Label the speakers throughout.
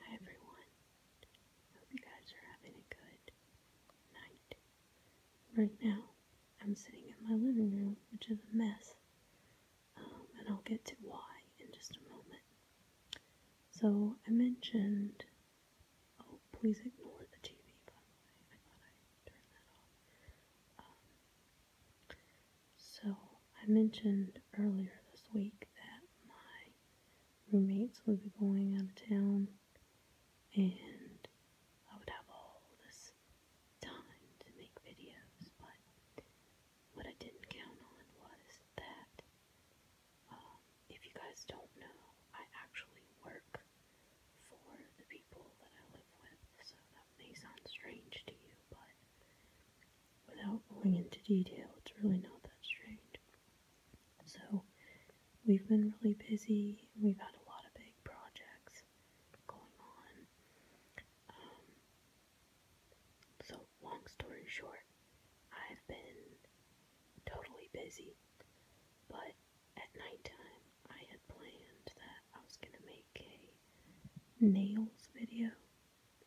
Speaker 1: Hi everyone. Hope you guys are having a good night. Right now, I'm sitting in my living room, which is a mess. Um, and I'll get to why in just a moment. So, I mentioned. Oh, please ignore the TV, by the way. I thought I turned that off. Um, so, I mentioned earlier this week that my roommates would be going out of town and I would have all this time to make videos, but what I didn't count on was that um, if you guys don't know, I actually work for the people that I live with, so that may sound strange to you, but without going into detail, it's really not that strange. So, we've been really busy, we've had a lot of big projects going on. Um, so, long story short, I've been totally busy, but at nighttime I had planned that I was going to make a nails video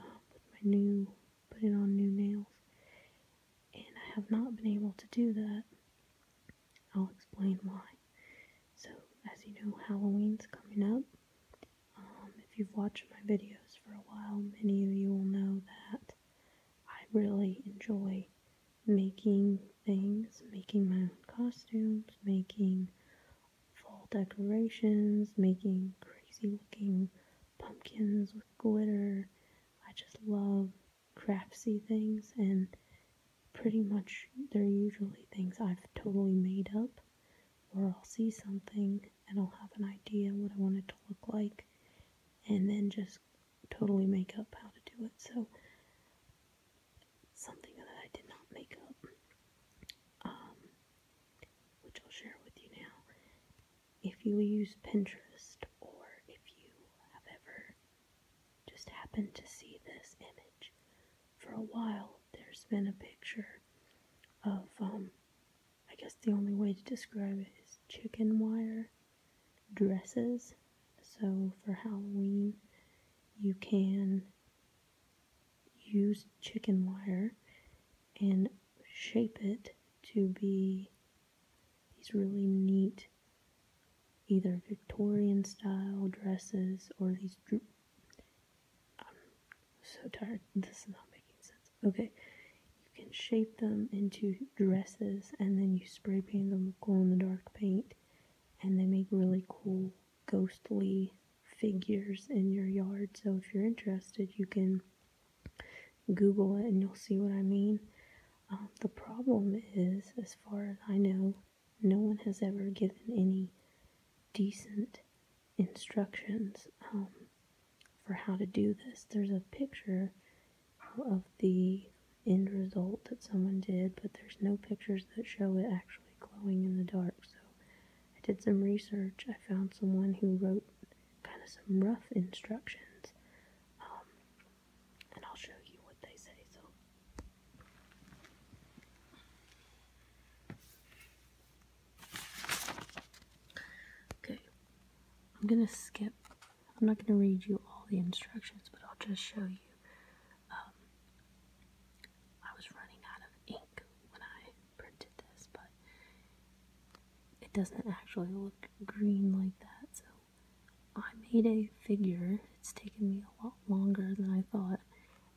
Speaker 1: um, with my new, putting on new nails. And I have not been able to do that. I'll explain why. So, as you know, Halloween's coming up. Um, if you've watched my videos for a while, many of you will know that I really enjoy making things, making my own costumes, making fall decorations, making crazy looking pumpkins with glitter. I just love craftsy things, and pretty much they're usually things I've totally made up, or I'll see something and I'll have an idea what I want it to look like, and then just totally make up how to do it. So something that I did not make up, um, which I'll share with you now. If you use Pinterest or if you have ever just happened to see this image, for a while there's been a picture of, um, I guess the only way to describe it is chicken wire dresses. So for Halloween, you can use chicken wire and shape it to be these really neat either Victorian style dresses or these droop. I'm so tired. This is not making sense. Okay, you can shape them into dresses and then you spray paint them with glow in the dark paint and they make really cool ghostly figures in your yard. So if you're interested, you can Google it and you'll see what I mean. Um, the problem is, as far as I know, no one has ever given any decent instructions um, for how to do this. There's a picture of the end result that someone did, but there's no pictures that show it actually glowing in the dark. So I did some research. I found someone who wrote kind of some rough instructions. Um, and I'll show you what they say. So Okay. I'm going to skip. I'm not going to read you all the instructions, but I'll just show you um, I was running out of ink when I printed this, but it doesn't actually look green like that, so I made a figure. It's taken me a lot longer than I thought,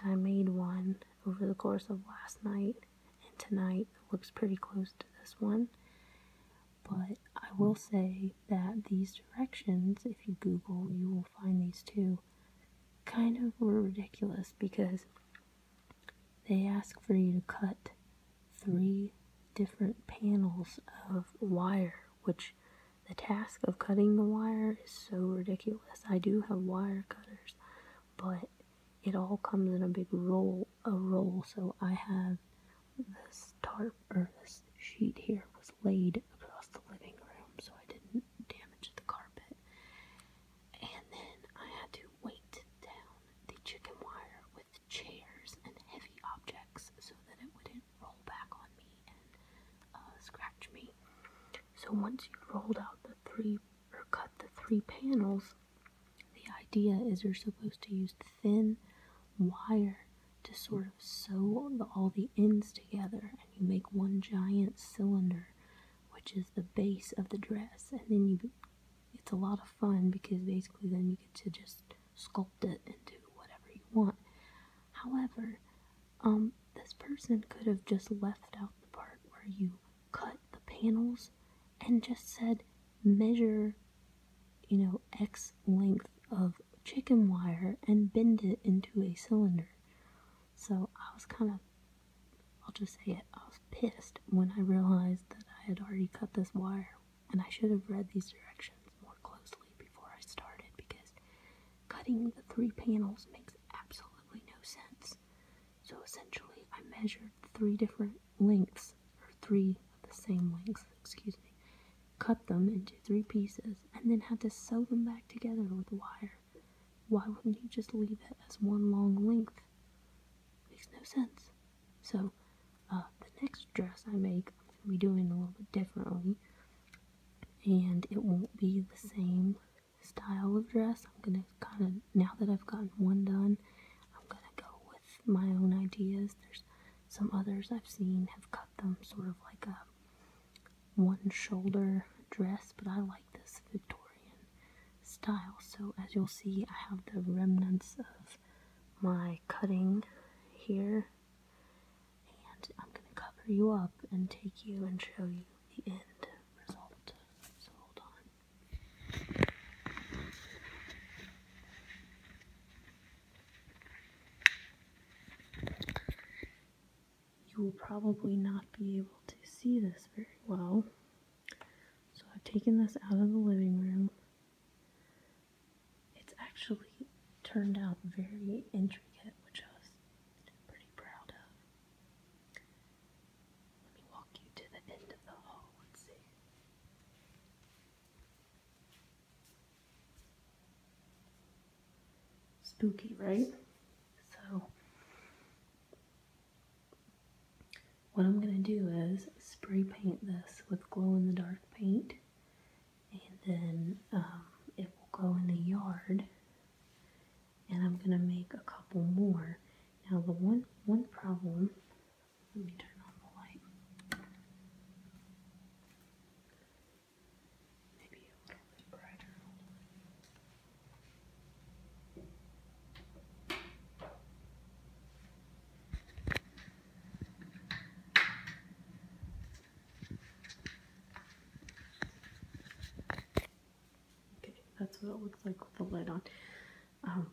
Speaker 1: and I made one over the course of last night and tonight. looks pretty close to this one. But I will say that these directions, if you Google, you will find these two, kind of were ridiculous because they ask for you to cut three different panels of wire, which the task of cutting the wire is so ridiculous. I do have wire cutters, but it all comes in a big roll, a roll. So I have this tarp or this sheet here was laid across the living room so I didn't damage the carpet. And then I had to weight down the chicken wire with chairs and heavy objects so that it wouldn't roll back on me and uh, scratch me. So once you rolled out the three or cut the three panels, the idea is you're supposed to use thin wire to sort of sew all the ends together, and you make one giant cylinder, which is the base of the dress. And then you, it's a lot of fun because basically then you get to just sculpt it and do whatever you want. However, um, this person could have just left out the part where you cut the panels and just said, measure, you know, X length of chicken wire and bend it into a cylinder. So I was kind of, I'll just say it, I was pissed when I realized that I had already cut this wire and I should have read these directions more closely before I started because cutting the three panels makes absolutely no sense. So essentially, I measured three different lengths, or three of the same lengths, excuse me, cut them into three pieces, and then have to sew them back together with wire. Why wouldn't you just leave it as one long length? Makes no sense. So, uh, the next dress I make, I'm going to be doing a little bit differently, and it won't be the same style of dress. I'm going to kind of now that I've gotten one done, I'm gonna go with my own ideas. There's some others I've seen have cut them sort of like a one shoulder dress, but I like this Victorian style. So, as you'll see, I have the remnants of my cutting here, and I'm gonna cover you up and take you and show you the end result. So, hold on. You will probably not be able to see this very well. So I've taken this out of the living room. It's actually turned out very intricate, which I was pretty proud of. Let me walk you to the end of the hall and see. Spooky, right? So, what I'm going to do is spray paint this with glow in the dark paint, and then um, it will go in the yard and I'm gonna make a couple more. Now the one one problem, let me turn on the light. Maybe a little bit brighter. Okay, that's what it looks like with the lid on. Um,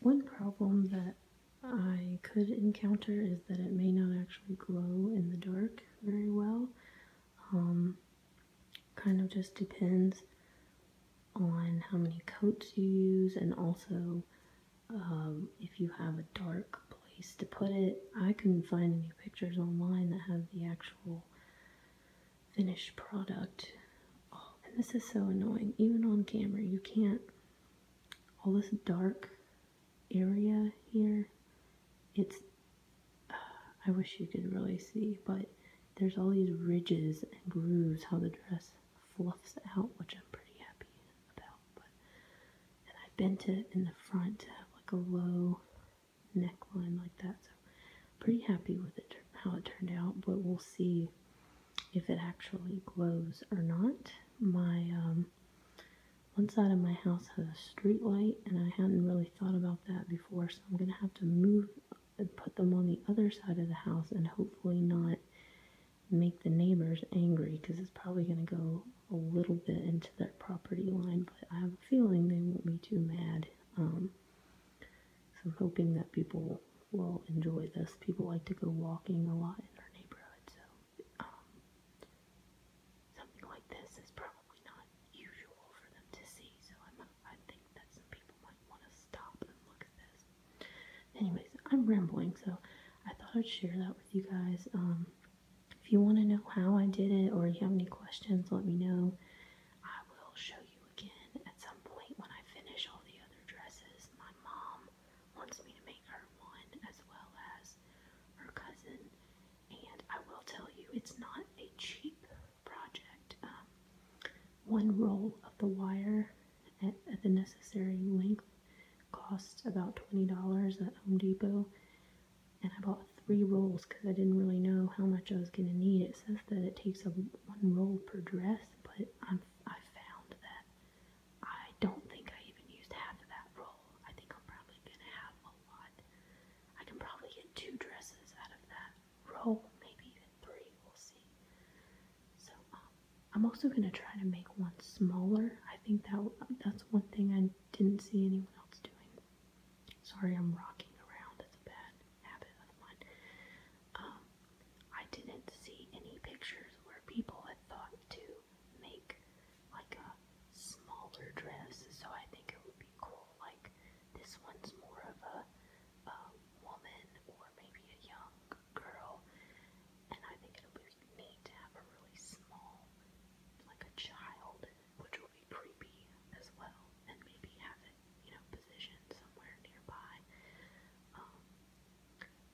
Speaker 1: one problem that I could encounter is that it may not actually glow in the dark very well. Um, kind of just depends on how many coats you use and also um, if you have a dark place to put it. I couldn't find any pictures online that have the actual finished product. Oh, and this is so annoying. Even on camera, you can't. All this dark area here, it's. Uh, I wish you could really see, but there's all these ridges and grooves how the dress fluffs out, which I'm pretty happy about. and I bent it in the front to have like a low neckline like that. So pretty happy with it how it turned out, but we'll see if it actually glows or not. My um, one side of my house has a street light, and I hadn't really thought about that before, so I'm gonna have to move and put them on the other side of the house and hopefully not make the neighbors angry because it's probably gonna go a little bit into their property line, but I have a feeling they won't be too mad um, so I'm hoping that people will enjoy this. People like to go walking a lot in our neighborhood, so um, something like this is probably not usual for them to see. So i think that some people might want to stop and look at this. Anyways, I'm rambling, so I thought I'd share that with you guys. Um, if you want to know how I did it or you have any questions, let me know. I will show you again at some point when I finish all the other dresses. My mom wants me to make her one as well as her cousin, and I will tell you it's not a cheap project. Um, one roll of the wire at the necessary length costs about $20 at Home Depot and I bought three rolls because I didn't really know how much I was going to need. It says that it takes a one roll per dress, but i found that I don't think I even used half of that roll. I think I'm probably going to have a lot. I can probably get two dresses out of that roll, maybe even three. We'll see. So um, I'm also going to try to make one smaller. I think that that's one thing I didn't see anyone else doing. Sorry, I'm rocking around. It's a bad habit of mine. Um, I didn't see any pictures where people had thought to make like a smaller dress, so I think it would be cool. Like this one's more of a, a woman or maybe a young girl, and I think it'll be need to have a really small, like a child, which would be creepy as well, and maybe have it, you know, positioned somewhere nearby. Um,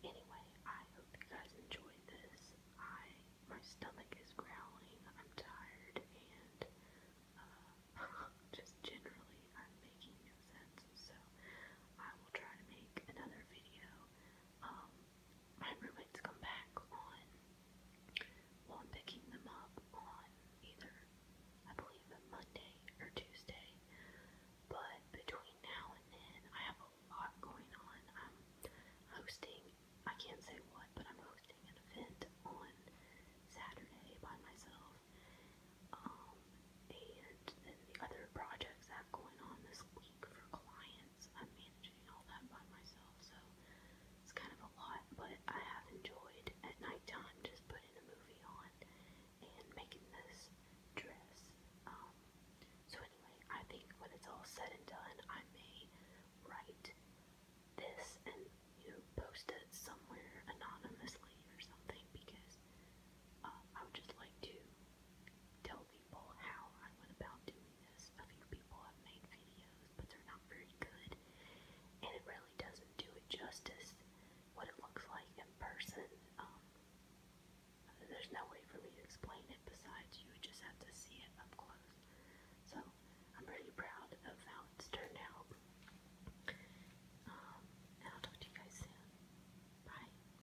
Speaker 1: anyway, I hope you guys enjoyed this. I, my stomach is growling, I'm tired, and, uh, just generally, I'm making no sense, so I will try to make another video, um, my roommates come back on, well, I'm picking them up on either, I believe, Monday or Tuesday. But between now and then, I have a lot going on. I'm hosting, I can't say what, but I'm hosting an event on Saturday by myself. Um, and then the other projects I have going on this week for clients. I'm managing all that by myself, so it's kind of a lot. But I have enjoyed at nighttime just putting a movie on and making this dress. Um, so anyway, I think when it's all said and done, I may write this and you know post it somewhere anonymously or something because uh, I would just like to tell people how I went about doing this. A few people have made videos, but they're not very good, and it really doesn't do it justice what it looks like in person. Um, there's no way for me to explain it besides you just have to see it up close. So I'm pretty proud of how it's turned out. Um, and I'll talk to you guys soon. Bye.